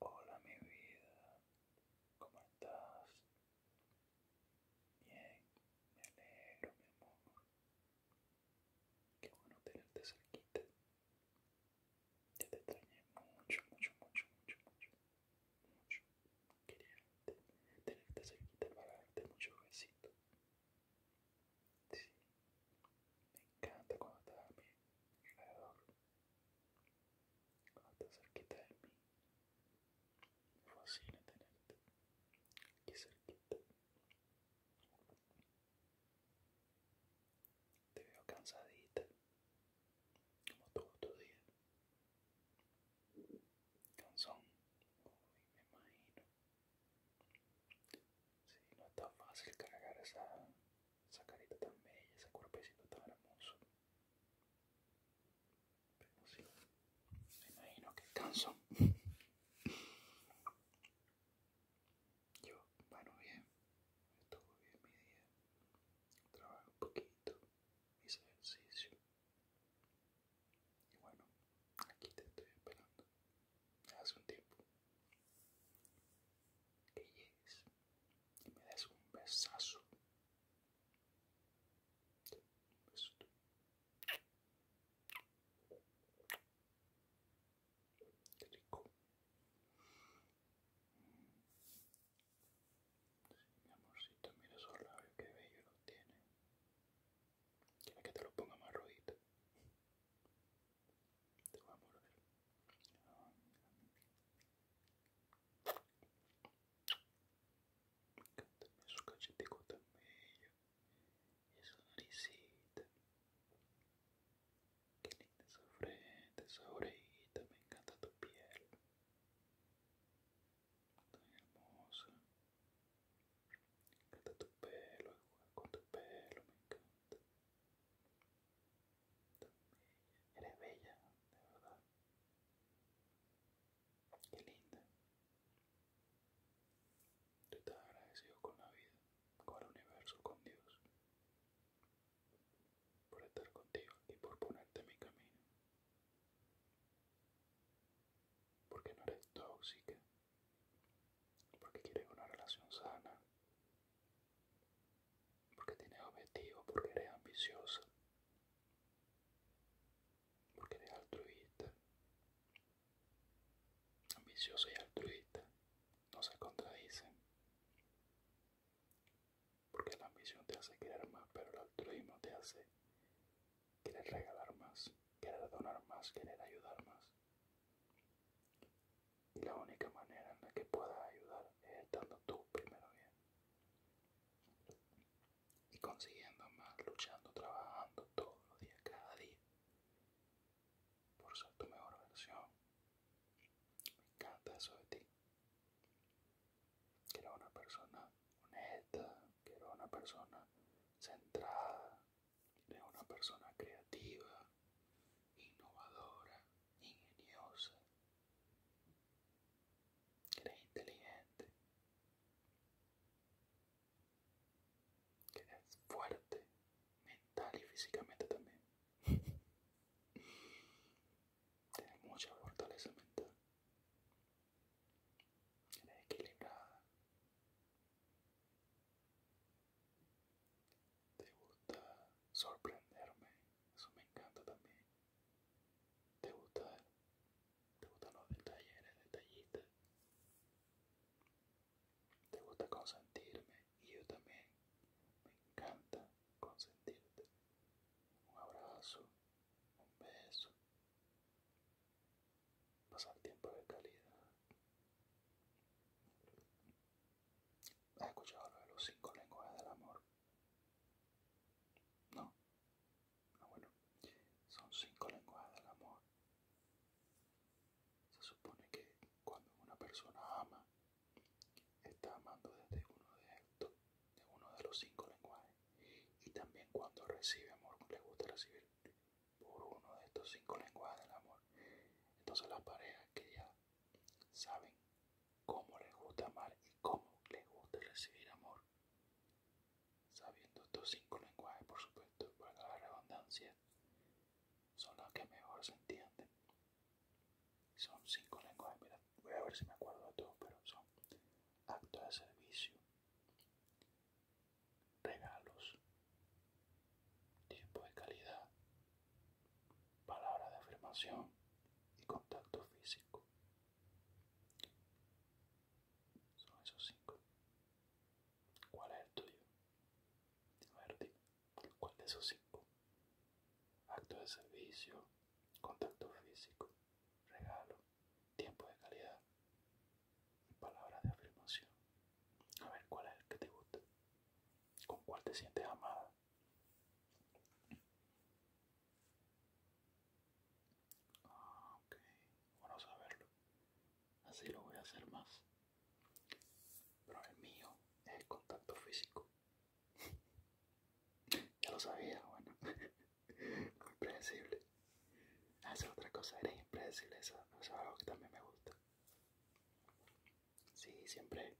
Hola mi vida, ¿cómo estás? Bien, me alegro mi amor. Qué bueno tenerte cerquita. Ya te extrañé mucho, mucho, mucho, mucho, mucho, mucho. Quería tenerte cerquita para darte muchos besitos. Sí, me encanta cuando estás a mi alrededor cuando cerquita de mí, me fascina tenerte aquí cerquita. Te veo cansadita, como todo tu día. Cansón, uy, me imagino. Sí, no es tan fácil cargar esa esa carita tan bella, ese cuerpecito tan hermoso. Pero sí, me imagino que canso. Yo, bueno, bien, estuvo bien mi día. Trabajé un poquito, hice ejercicio. Y bueno, aquí te estoy esperando. Hace un tiempo que llegues y me des un besazo. Un beso rico. Mi amorcito, mira esos labios, que bello tiene. que te lo ponga más rojito? Te voy a morder. Me encanta su cachetico tan bello. Qué linda esa frente, esa orejita. Me encanta tu piel. Tan hermosa. Me encanta tu pelo, jugar con tu pelo, me encanta. Eres bella, de verdad. Qué linda. Tú estás agradecido con la vida, con el universo, con Dios. Por estar contigo y por ponerte en mi camino. Porque no eres tóxica. Porque quieres una relación sana porque tienes objetivo, porque eres ambiciosa, porque eres altruista. Ambicioso y altruista no se contradicen, porque la ambición te hace querer más, pero el altruismo te hace querer regalar más, querer donar más, querer ayudar más. Y la única manera en la que puedas ayudar es estando tú primero bien. Y consiguiendo más, luchando, trabajando todos los días, cada día, por ser tu mejor versión. Me encanta eso de ti. Que eres una persona honesta, que eres una persona centrada, eres una persona creativa, innovadora, ingeniosa, que eres inteligente, que eres fuerte, mental y físicamente también. Tienes mucha fortaleza mental. Eres equilibrada te gusta sorprenderme, eso me encanta también. Te gusta, te gustan los detalles, detallitos Te gusta consentirme y yo también me encanta consentirte. Un abrazo, un beso. Pasar tiempo de calidad. ¿Has escuchado lo de los cinco lenguajes del amor? No. No, ah, bueno. Son cinco lenguajes del amor. Se supone que cuando una persona ama, está amando desde uno de estos, de uno de los cinco lenguajes. Y también cuando recibe amor, le gusta recibir por uno de estos cinco lenguajes del amor. Entonces las parejas que ya Saben cómo les gusta amar y cómo les gusta recibir amor. Sabiendo estos cinco lenguajes, por supuesto, para la redundancia, son los que mejor se entienden. Son cinco lenguajes, mira, voy a ver si me acuerdo de todos, pero son actos de servicio, regalos, tiempo de calidad, Palabra de afirmación y contacto físico. Son esos cinco. ¿Cuál es el tuyo? A ver, ¿cuál de esos cinco? Acto de servicio, contacto físico, regalo, tiempo de calidad Palabra palabras de afirmación. A ver, ¿cuál es el que te gusta? ¿Con cuál te sientes amada? Ah, ok, bueno saberlo. Así lo voy a hacer más. Pero el mío es el contacto físico. ya lo sabía, bueno. impredecible Hacer ah, otra cosa, eres impredecible, eso es algo que también me gusta. Sí, siempre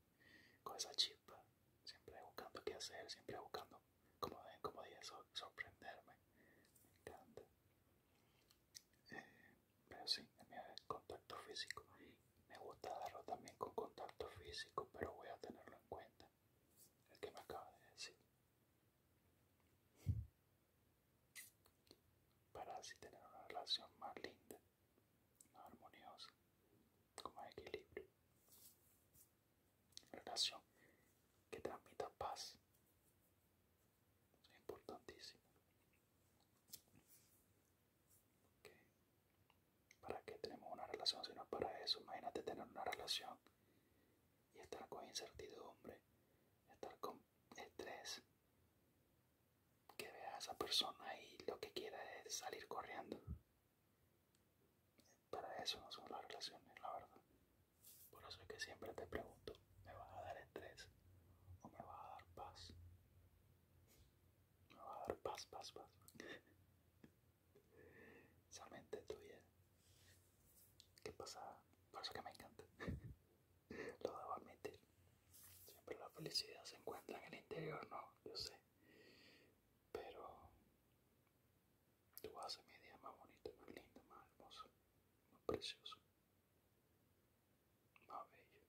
con esa chispa, siempre buscando qué hacer, siempre buscando, como, como sorprenderme. Me encanta. Eh, pero sí, en contacto físico. Me gusta darlo también con contacto físico, pero voy a tenerlo en cuenta. El que me acaba de decir. Para así tener una relación más linda, más armoniosa, como equilibrio. Relación que transmita paz. Es importantísimo. ¿Para qué tenemos una relación si no para eso? Imagínate tener una relación y estar con incertidumbre, estar con estrés, que vea a esa persona y lo que quiera es salir corriendo. Para eso no son las relaciones, la verdad. Por eso es que siempre te pregunto, ¿me vas a dar estrés o me vas a dar paz? Me vas a dar paz, paz, paz. Esa tuya. ¿Qué pasa? Por eso que me encanta. Lo debo admitir. Siempre la felicidad se encuentra en el interior, ¿no? Yo sé. Pero tú haces mi día más bonito, más lindo, más hermoso, más precioso, más bello.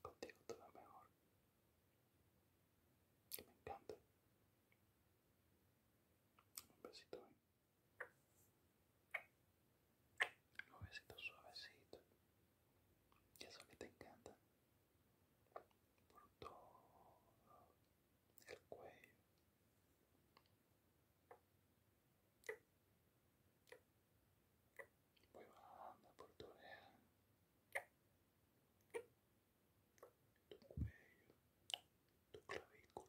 Contigo todo mejor. me encanta. Un besito. Los suavecito, suavecitos. eso que te encanta. Por todo el cuello. Voy bajando por tu oreja. Tu cuello. Tu clavícula.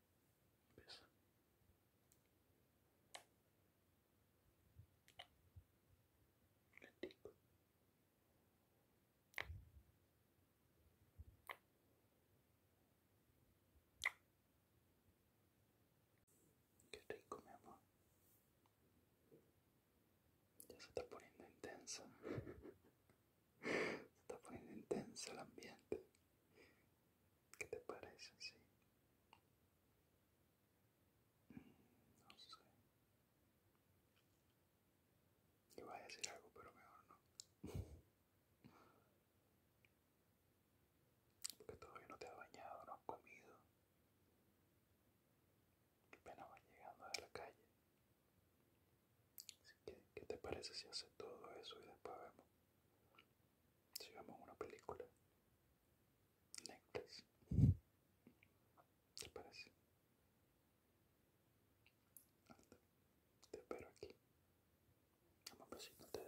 Qué rico, mi amor. Ya se está poniendo intensa. se está poniendo intensa el ambiente. ¿Qué te parece así? Mm, no sé. Iba a decir algo, pero mejor no. Porque todavía no te has bañado, no has comido. Qué pena van llegando de la calle. Así ¿qué te parece si hace todo eso y después vemos si vemos una película. Necklace. ¿Te parece? te espero aquí. Vamos a ver si no te